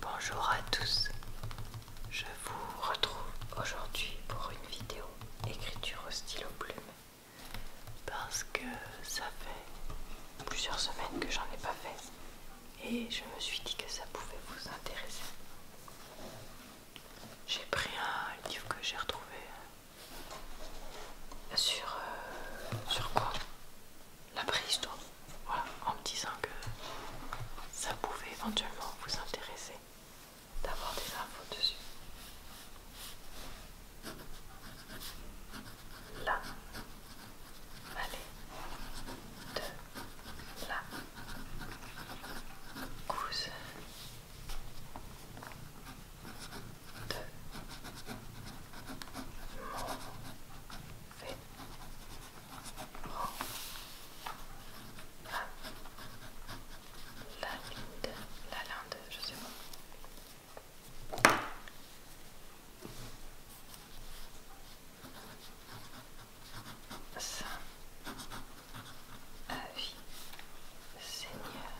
Bonjour à tous, je vous retrouve aujourd'hui pour une vidéo écriture au stylo plume parce que ça fait plusieurs semaines que j'en ai pas fait et je me suis dit que ça pouvait vous intéresser. J'ai pris un livre que j'ai retrouvé euh, sur, euh, sur quoi la donc voilà, en me disant que ça pouvait éventuellement vous intéresser d'avoir des infos dessus. La de la de la linde, la linde, je sais pas. Saint avis, Seigneur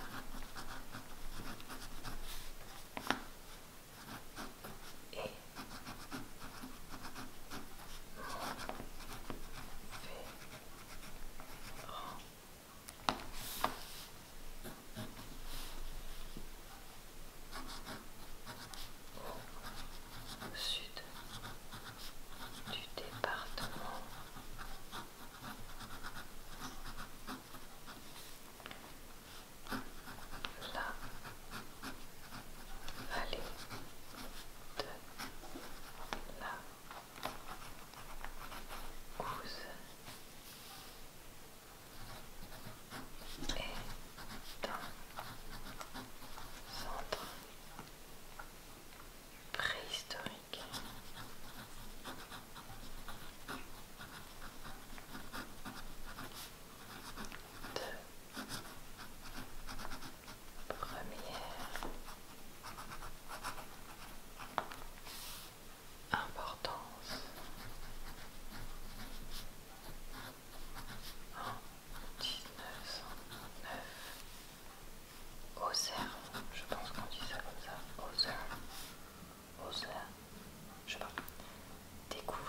au sud du département la vallée de la Couze est un centre préhistorique de première importance en 1909 au je pense qu'on dit ça comme ça, au CERN, je sais pas, découvrir.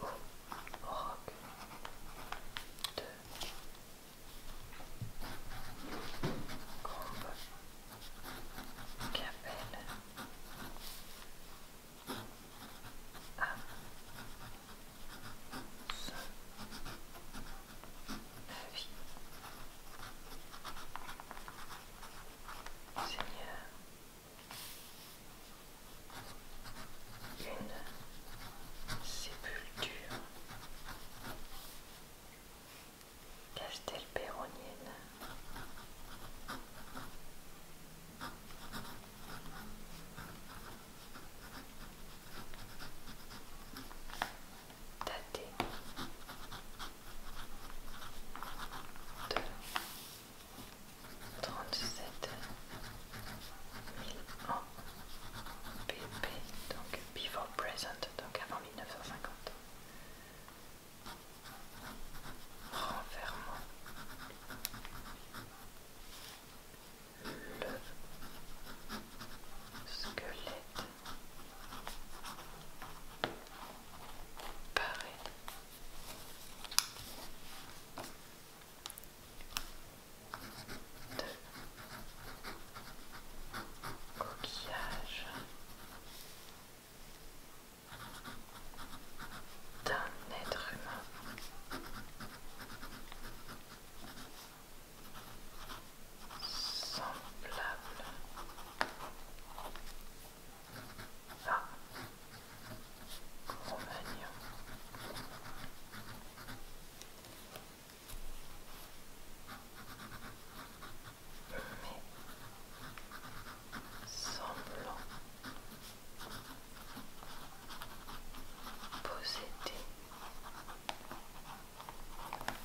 Au, au rock de Combe Capelle à son avis. Seigneur, une sépulture castelpéronienne. Daté de 37 000 ans BP, donc before present, donc avant 1950. Renfermant le squelette Pareil. Deux. Coquillage d'un être humain semblable à Romagnon. Mais semblant posséder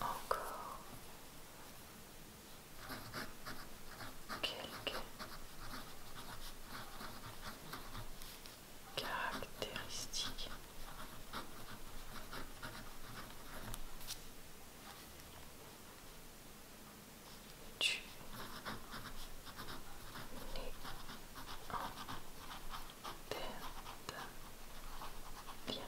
encore quelques caractéristiques Tu du bien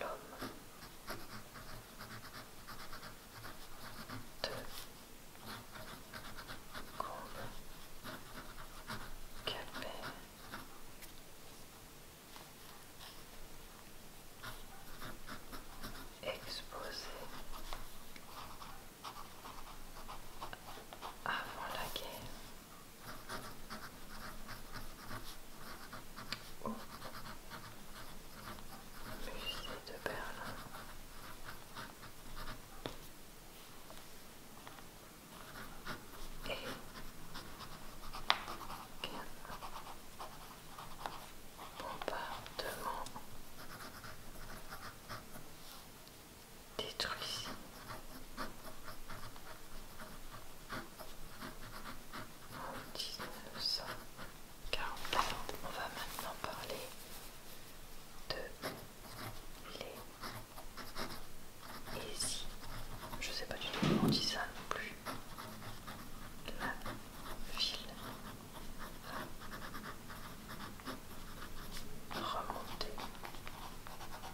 l'homme de Combe exposé avant la guerre Oh. Musée de Berlin. Et bombardement détruit. En 1940. on va maintenant parler de les Easy. Je sais pas du tout comment on dit ça non plus. La ville va remonter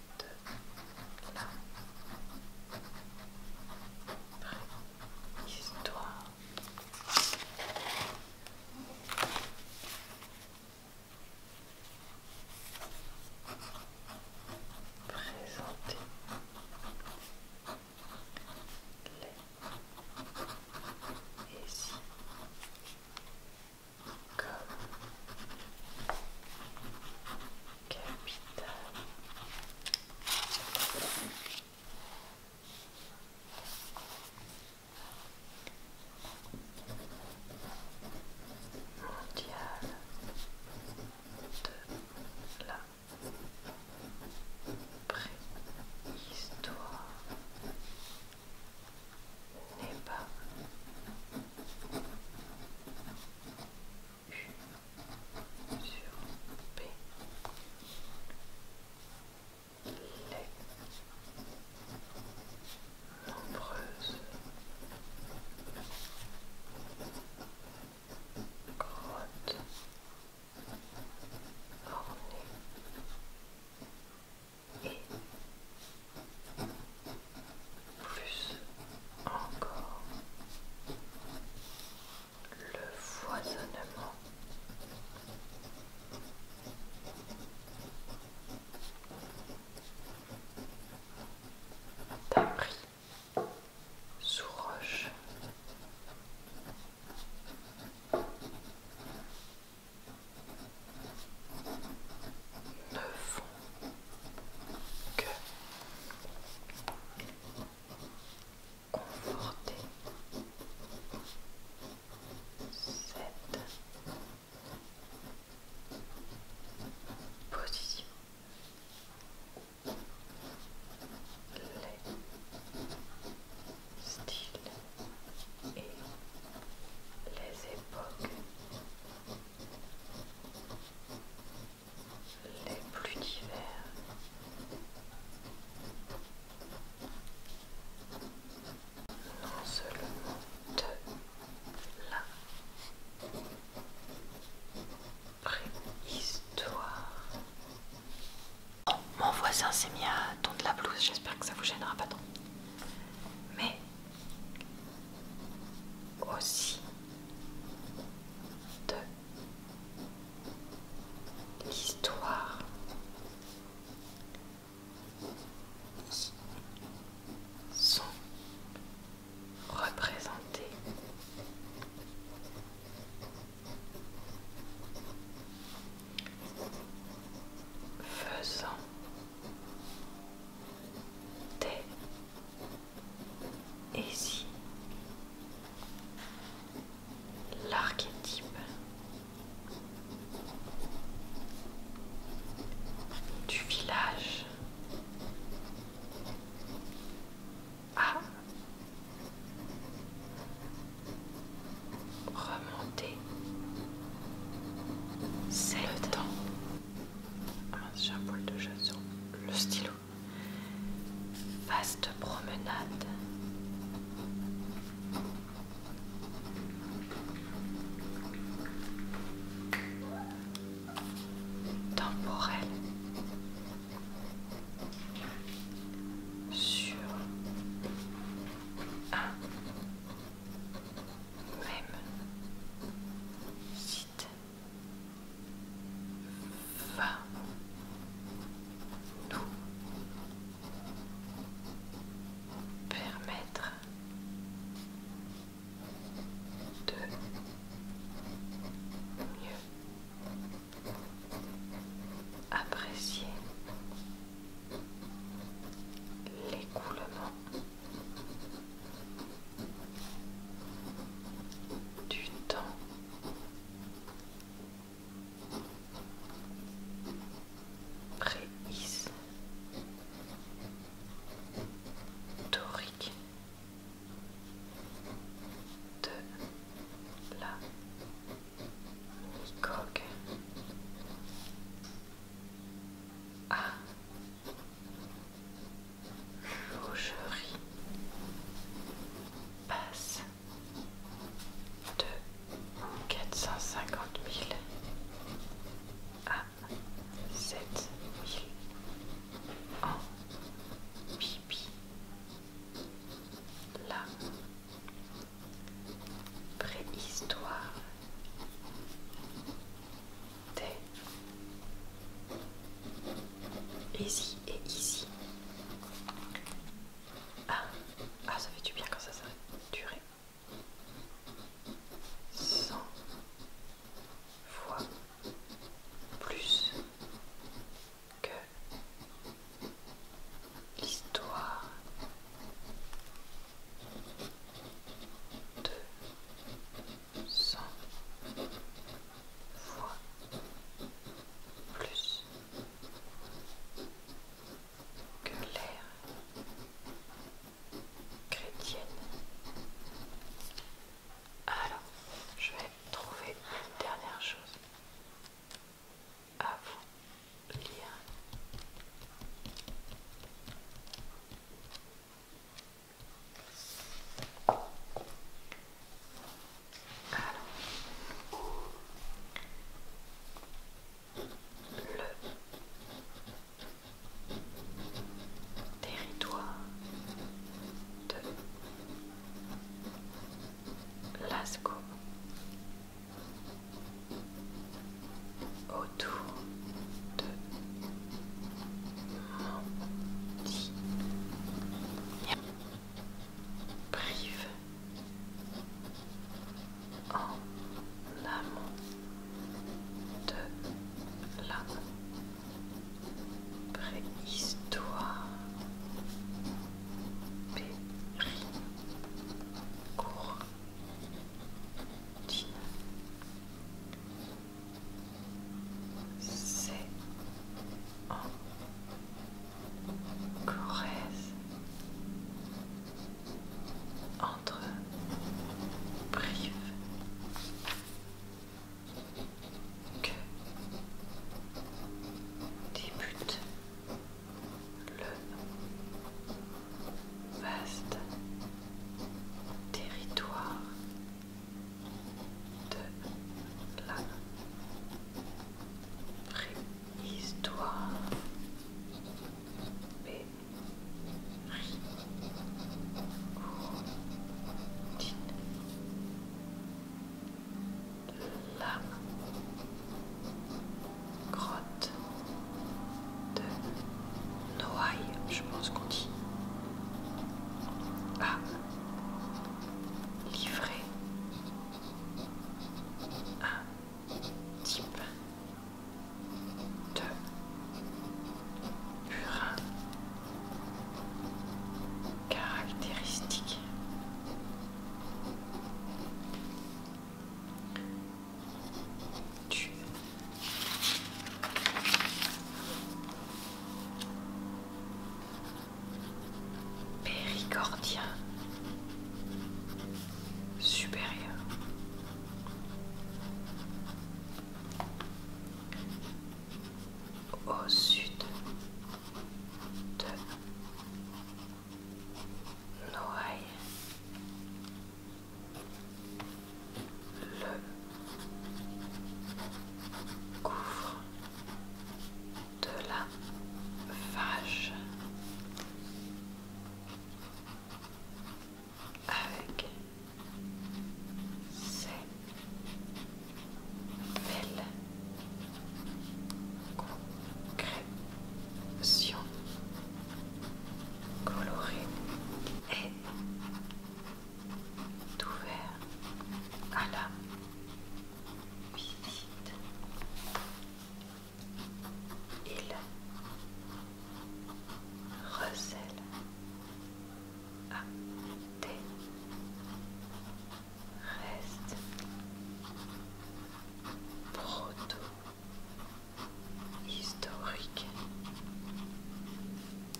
de la préhistoire. Présenter les et si donc, capital. Mondial de la préhistoire n'est U sur P. Les nombreuses grottes plus encore le foisonnement d'un sous roche. Ne font que conforter cette position les styles et les époques les plus divers. Non seulement de la préhistoire. mon voisin s'est mis à tondre la blouse, j'espère que ça vous gênera pas tant. Mais aussi de l'histoire sont représentés faisant des et si l'archétype du village. a remonté, c'est le temps ah j'ai un boule de chasse le stylo. Vaste promenade. Temporelle. Sur un même va nous permettre de mieux apprécier l'écoulement du temps. préhis, torique de la coque ah. Rougerie passe de 450 000 à 7 000 en pipi. La préhistoire Easy et easy. Ah, ah ça fait du bien quand ça s'arrête. Durée. 100 fois plus que l'histoire de cent fois plus que l'ère chrétienne. Alors, je vais trouver une dernière chose à vous lire le territoire de Lascaux autour de mon lit. Prive en amont de la préhistoire. Péri c'est en Corrèze entre Brive que débute le vaste territoire de la préhistoire la grotte de Noailles, je pense qu'on dit, a ah. livré un type de purin caractéristique. Du Péricordien supérieur. Au sud de Noailles le couvre de la vache avec ses belles concrétions colorées et Ouvert, ah à la visite. Il recèle à ah. tes restes proto-historiques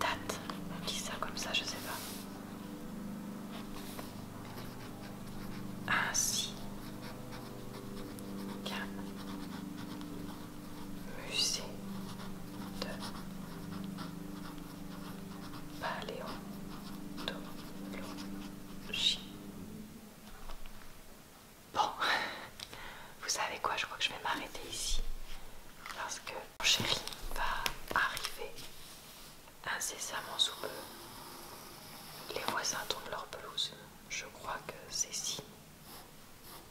date. On dit ça comme ça, je sais pas. Ainsi. Ah, Musée de paléontologie. Bon, vous savez quoi, je crois que je vais m'arrêter ici parce que mon chéri va arriver incessamment sous peu. Les voisins tournent leur pelouse. Je crois que c'est si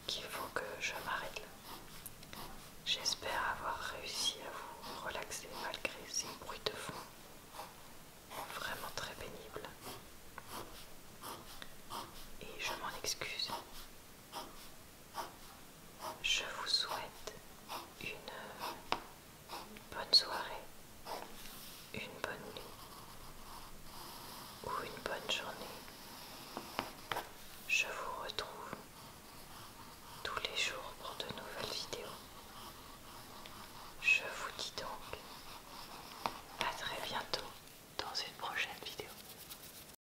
qu'il faut que je m'arrête J'espère avoir réussi à vous relaxer malgré ces bruits de fond vraiment très pénibles. Et je m'en excuse je vous souhaite une bonne soirée, une bonne nuit ou une bonne journée. Je vous retrouve tous les jours pour de nouvelles vidéos. Je vous dis donc à très bientôt dans une prochaine vidéo.